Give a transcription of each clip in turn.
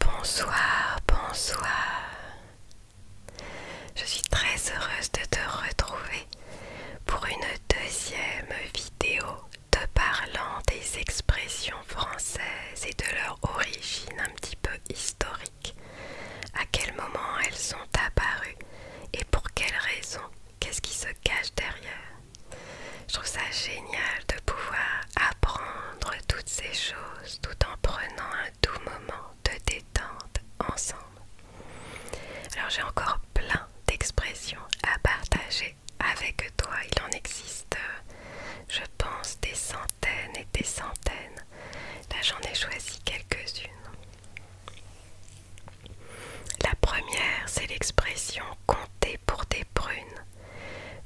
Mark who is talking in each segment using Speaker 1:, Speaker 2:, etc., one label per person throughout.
Speaker 1: Bonsoir, bonsoir. Je suis très heureuse de te retrouver pour une deuxième vidéo te parlant des expressions françaises et de leur origine un petit peu historique. À quel moment elles sont apparues et pour quelles raisons Qu'est-ce qui se cache derrière je trouve ça génial de pouvoir apprendre toutes ces choses tout en prenant un doux moment de détente ensemble. Alors j'ai encore plein d'expressions à partager avec toi. Il en existe, je pense, des centaines et des centaines. Là j'en ai choisi quelques-unes. La première, c'est l'expression compter pour des prunes.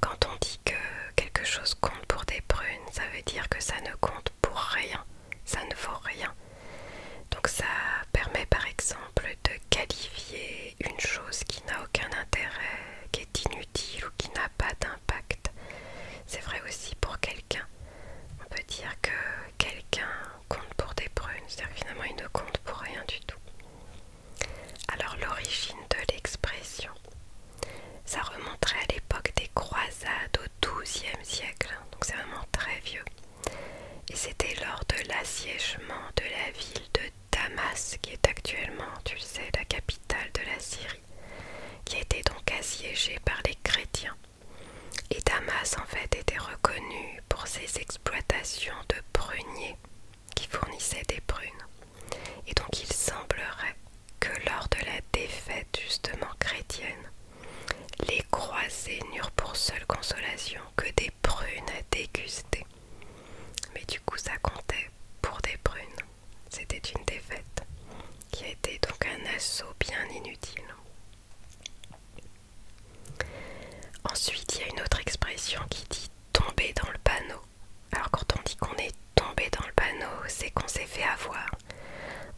Speaker 1: Quand on dit que quelque chose compte pour des prunes, ça veut dire que ça ne compte pour rien, ça ne vaut rien. Donc ça permet par exemple de qualifier une chose qui n'a aucun intérêt, qui est inutile ou qui n'a pas d'impact. C'est vrai aussi pour quelqu'un. On peut dire que quelqu'un compte pour des prunes, c'est-à-dire finalement il ne compte pour rien du tout. Alors l'origine de l'expression, ça remonterait à l'époque des croisades au XIIe siècle, hein, donc c'est vraiment très vieux. Et c'était lors de l'assiègement de la ville de Damas, qui est actuellement, tu le sais, la capitale de la Syrie, qui était donc assiégée par les chrétiens. Et Damas en fait était reconnu pour ses exploitations de pruniers qui fournissait des prunes. Et donc il semblerait que lors de la défaite justement chrétienne, les croisés n'eurent pour seule consolation que des prunes à déguster. Mais du coup ça comptait pour des prunes. C'était une défaite qui a été donc un assaut bien inutile. Ensuite, il y a une autre expression qui dit tomber dans le panneau. Alors quand on dit qu'on est tombé dans le panneau, c'est qu'on s'est fait avoir.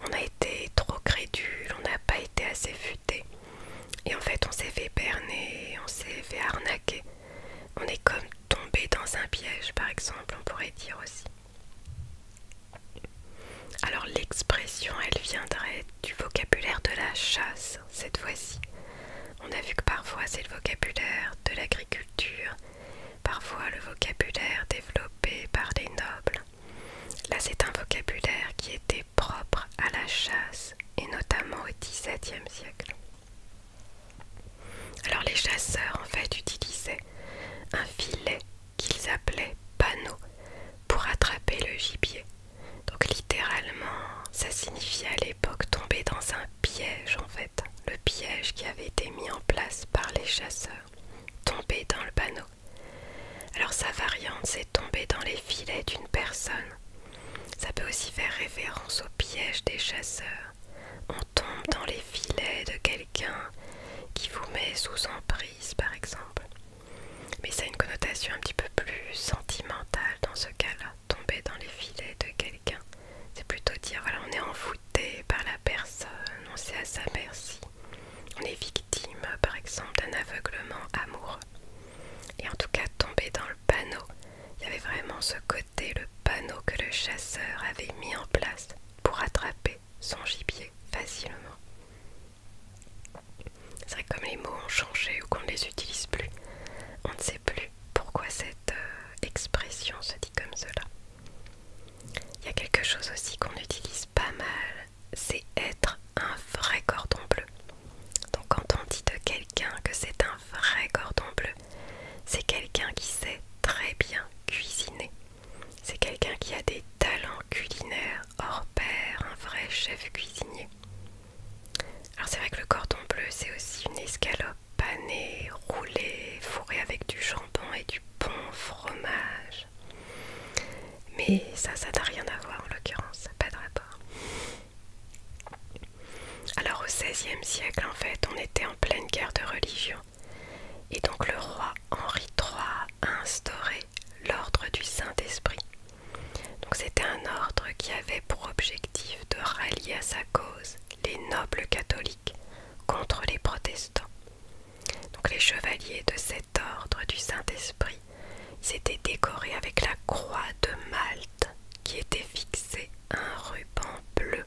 Speaker 1: On a été trop crédule, on n'a pas été assez futé. Et en fait, on s'est fait berner, on s'est fait arnaquer. On est comme tombé dans un piège, par exemple, on pourrait dire aussi. Alors l'expression, elle viendrait du vocabulaire de la chasse cette fois-ci. On a vu que parfois c'est le vocabulaire de l'agriculture, parfois le vocabulaire développé par les nobles. Là c'est un vocabulaire qui était propre à la chasse et notamment au XVIIe siècle. Alors les chasseurs en fait utilisaient un filet qu'ils appelaient panneau pour attraper le gibier. Donc littéralement ça signifiait à l'époque tomber dans un piège en fait, le piège qui avait été mis en place par les chasseurs, tomber dans le panneau. Alors sa variante c'est tomber dans les filets d'une personne. Ça peut aussi faire référence au piège des chasseurs. On tombe dans les filets de quelqu'un qui vous met sous emprise par exemple. Mais ça a une connotation un petit peu plus sentimentale dans ce cas-là tomber dans les filets de quelqu'un. C'est plutôt dire voilà, on est envoûté par la personne, on sait à sa merci. On est victime, par exemple, d'un aveuglement amoureux. Et en tout cas, tomber dans le panneau, il y avait vraiment ce côté, le panneau que le chasseur avait mis en place pour attraper son gibier facilement. C'est vrai que comme les mots ont changé ou qu'on ne les utilise plus, on ne sait plus pourquoi cette euh, expression se dit comme cela. Il y a quelque chose aussi qu'on utilise pas mal, c'est être un vrai cordon bleu. Donc quand on dit de quelqu'un que c'est un vrai cordon bleu, c'est quelqu'un qui sait très bien cuisiner. C'est quelqu'un qui a des talents culinaires hors pair, un vrai chef cuisinier. Alors c'est vrai que le cordon bleu c'est aussi une escalope panée, roulée, fourrée avec du jambon et du bon fromage. Mais ça, ça n'a rien à voir en l'occurrence, ça n'a pas de rapport. Alors au XVIe siècle en fait, on était en pleine guerre de religion. Et donc le roi Henri III a instauré l'ordre du Saint-Esprit donc c'était un ordre qui avait pour objectif de rallier à sa cause les nobles catholiques contre les protestants. Donc les chevaliers de cet ordre du Saint-Esprit s'étaient décorés avec la croix de Malte qui était fixée à un ruban bleu.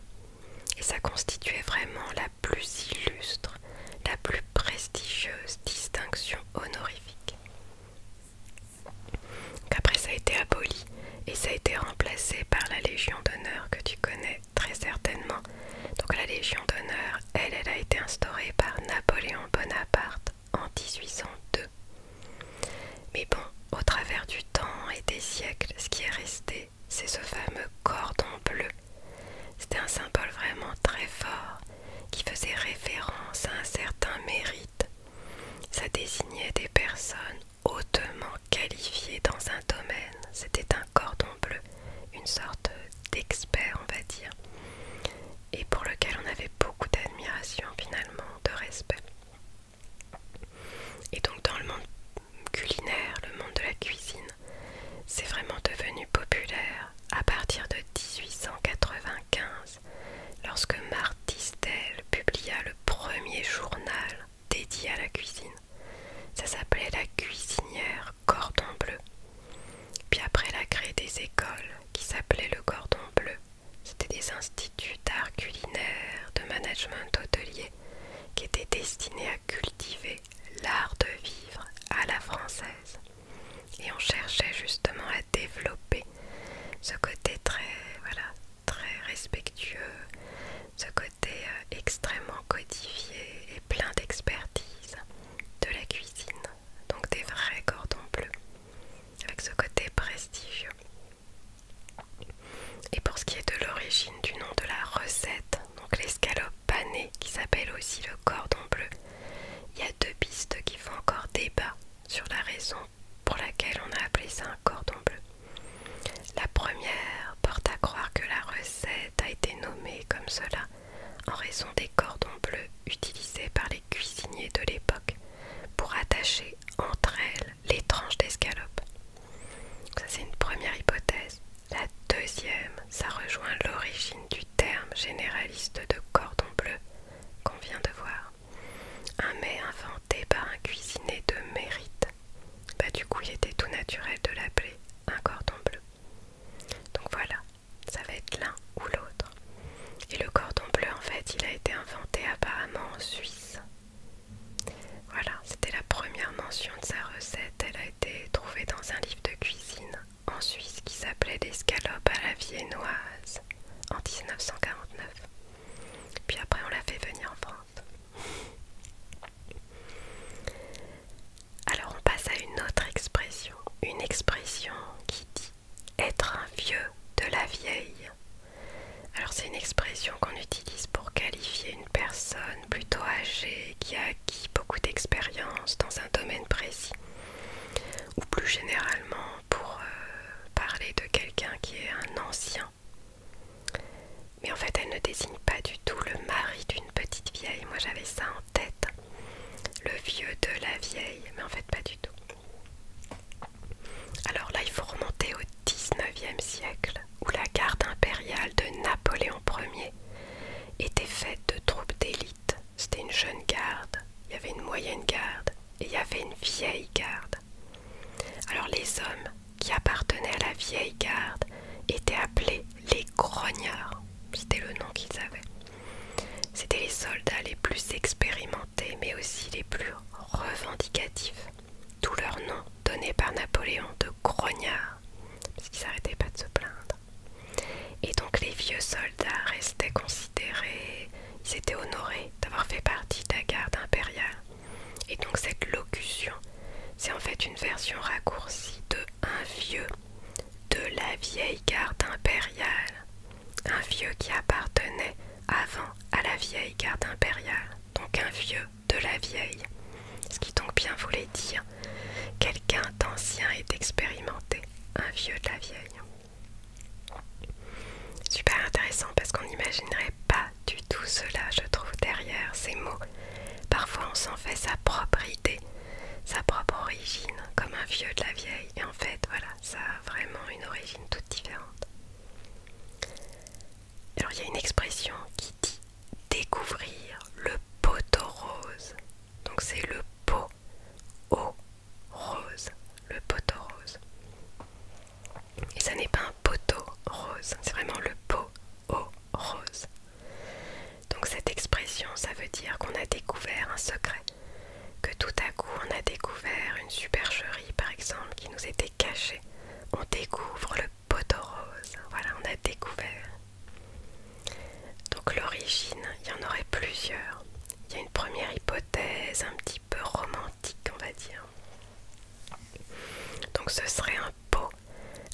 Speaker 1: Et ça constituait vraiment la plus illustre, la plus prestigieuse distinction honorifique après ça a été aboli et ça a été remplacé par la Légion d'honneur que tu connais très certainement. Donc la Légion d'honneur, elle, elle a été instaurée par Napoléon Bonaparte en 1802. Mais bon, au travers du temps et des siècles, ce qui est resté, c'est ce fameux cordon bleu. C'était un symbole vraiment très fort qui faisait référence à un certain mérite ça désignait des personnes hautement qualifiées dans un domaine. C'était un cordon bleu, une sorte d'expert, on va dire, et pour lequel on avait beaucoup d'admiration finalement, de respect. Et donc dans le monde culinaire, le monde de la cuisine, c'est vraiment devenu populaire à partir de 1895 lorsque Martistel publia le premier journal dédié à la cuisine. Ça s'appelait La cuisinière cordon bleu. Puis après, elle a créé des écoles qui s'appelaient le cordon bleu. C'était des instituts d'art culinaire, de management hôtelier, qui étaient destinés à cultiver l'art de vivre à la française. Et on cherchait justement à développer ce côté très, voilà, très respectueux, ce côté euh, extrêmement codifié et plein d'expertise de la cuisine, donc des vrais cordons bleus, avec ce côté prestigieux. Et pour ce qui est de l'origine du nom de la recette, donc l'escalope panée qui s'appelle aussi le cordon bleu, il y a deux pistes qui font encore débat sur la raison pour laquelle on a appelé ça un cordon bleu. La première porte à croire que la recette a été nommée comme cela en raison des cordons bleus utilisés par les cuisiniers de l'époque pour attacher entre elles les tranches d'escalope. Ça c'est une première hypothèse. La deuxième, ça rejoint l'origine du terme généraliste de cordon bleu qu'on vient de voir. Un mets inventé par un cuisinier de mérite. Bah du coup il était tout naturel de l'appeler un cordon bleu. Donc voilà, ça va être l'un ou l'autre. Et le cordon bleu en fait il a été inventé apparemment en Suisse. Voilà, c'était la première mention de sa recette. Elle a été trouvée dans un livre de cuisine en Suisse qui s'appelait l'escalope à la viennoise en 1949. Puis après, on l'a fait venir en France. Alors, on passe à une autre expression. Une expression qui dit être un vieux de la vieille. Alors, c'est une expression qu'on utilise pour qualifier une personne plutôt âgée qui a acquis beaucoup d'expérience dans un domaine précis ou plus généralement pour euh, parler de quelqu'un qui est un ancien. Mais en fait, elle ne désigne pas du tout le mari d'une petite vieille. Moi, j'avais ça en tête. Le vieux de la vieille. Mais en fait, pas du tout. Alors là, il faut remonter au 19e siècle, où la garde impériale de Napoléon Ier était faite de troupes d'élite. C'était une jeune garde. Il y avait une moyenne garde il y avait une vieille garde. Alors les hommes qui appartenaient à la vieille garde étaient appelés les grognards, c'était le nom qu'ils avaient. C'étaient les soldats les plus expérimentés mais aussi les plus revendicatifs. Tout leur nom donné par Napoléon de grognards, parce qu'ils n'arrêtaient pas de se plaindre. Et donc les vieux soldats restaient considérés ils étaient honorés d'avoir fait partie de la garde impériale. Et donc cette locution, c'est en fait une version raccourcie de un vieux, de la vieille garde impériale. Un vieux qui appartenait avant à la vieille garde impériale, donc un vieux de la vieille. Ce qui donc bien voulait dire quelqu'un d'ancien et d'expérimenté, un vieux de la vieille. Super intéressant parce qu'on n'imaginerait pas du tout cela, je trouve, derrière ces mots. Parfois on s'en fait sa propre idée, sa propre origine, comme un vieux de la vieille. Et en fait, voilà, ça a vraiment une origine toute différente. Alors il y a une expression qui dit découvrir le poteau rose. Donc c'est le pot au rose, le poteau rose. Et ça n'est pas un poteau rose, c'est vraiment le pot au rose. Donc cette expression, ça veut dire qu'on a découvert un secret, que tout à coup on a découvert une supercherie par exemple qui nous était cachée. On découvre le poteau rose, voilà, on a découvert. Donc l'origine, il y en aurait plusieurs. Il y a une première hypothèse un petit peu romantique, on va dire. Donc ce serait un pot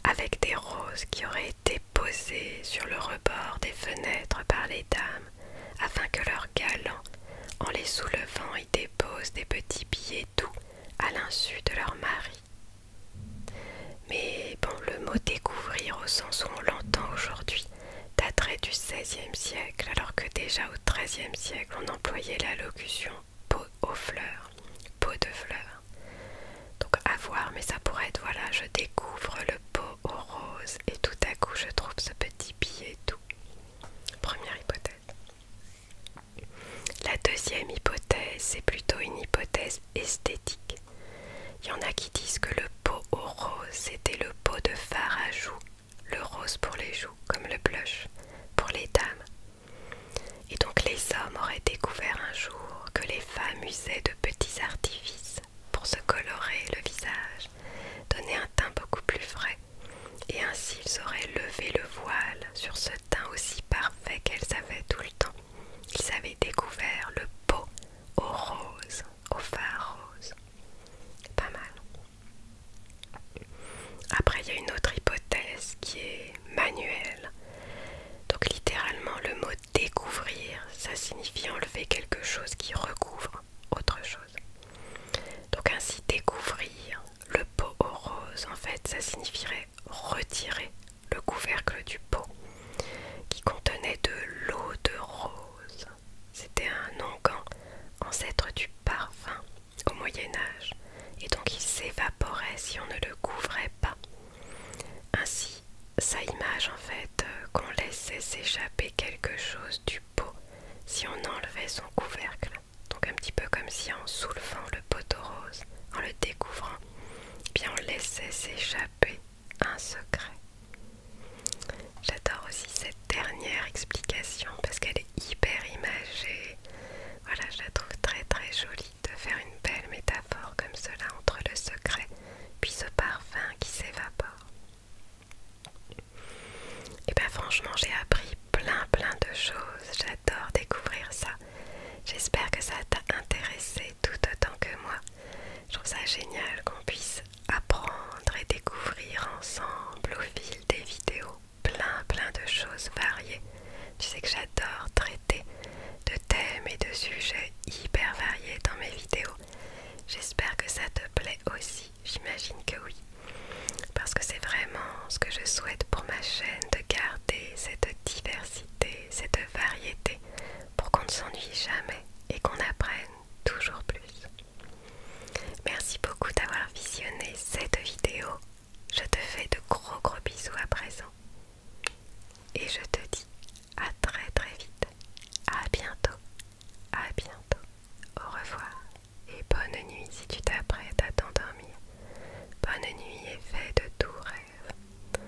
Speaker 1: avec des roses qui auraient été posées sur le rebord des fenêtres par les dames afin que leurs galants, en les soulevant, y déposent des petits billets doux à l'insu de leur mari. Mais bon, le mot découvrir au sens où on l'entend aujourd'hui daterait du XVIe siècle, alors que déjà au XIIIe siècle, on employait la locution pot aux fleurs, pot de fleurs. Donc à voir, mais ça pourrait être voilà, je découvre le pot aux roses et tout à coup je trouve ce petit billet tout Première hypothèse. La deuxième hypothèse, c'est plutôt une hypothèse esthétique. Il y en a qui disent que le pot au rose, c'était le pot de fard à joues, le rose pour les joues, comme le blush, pour les dames. Et donc les hommes auraient découvert un jour que les femmes usaient de petits artifices pour se colorer le visage, donner un teint beaucoup plus frais, et ainsi ils auraient levé le voile sur ce teint aussi parfait qu'elles avaient tout le temps. Ils avaient découvert le pot au rose, au phare rose. Pas mal. Après, il y a une autre hypothèse qui est manuelle. Donc littéralement, le mot découvrir, ça signifie enlever quelque chose qui recouvre autre chose. Donc ainsi, découvrir le pot au rose, en fait, ça signifierait retirer le couvercle du pot qui contenait de l'eau de rose c'était un onguent, ancêtre du parfum au Moyen Âge, et donc il s'évaporait si on ne le couvrait pas. Ainsi, sa image en fait euh, qu'on laissait s'échapper quelque chose du pot si on enlevait son couvercle. Donc un petit peu comme si en soulevant le pot rose, en le découvrant, eh bien on laissait s'échapper un secret. J'adore aussi cette dernière explication parce qu'elle est hyper imagée. Voilà, je la trouve très très jolie de faire une belle métaphore comme cela entre le secret puis ce parfum qui s'évapore. Et eh ben franchement, j'ai appris plein plein de choses. J'adore découvrir ça. J'espère que ça t'a intéressé tout autant que moi. Je trouve ça génial qu'on puisse apprendre et découvrir ensemble au fil des vidéos plein plein de choses variées. Tu sais que j'adore traiter de thèmes et de sujets hyper variés dans mes vidéos. J'espère que ça te plaît aussi, j'imagine que oui. Parce que c'est vraiment ce que je souhaite pour ma chaîne, de garder cette diversité, cette variété, pour qu'on ne s'ennuie jamais et qu'on apprenne toujours plus. Merci beaucoup d'avoir visionné cette vidéo. Je te fais de gros gros bisous à présent. Et je te dis à très très vite. À bientôt. À bientôt. Au revoir. Et bonne nuit si tu t'apprêtes à t'endormir. Bonne nuit et fais de doux rêves.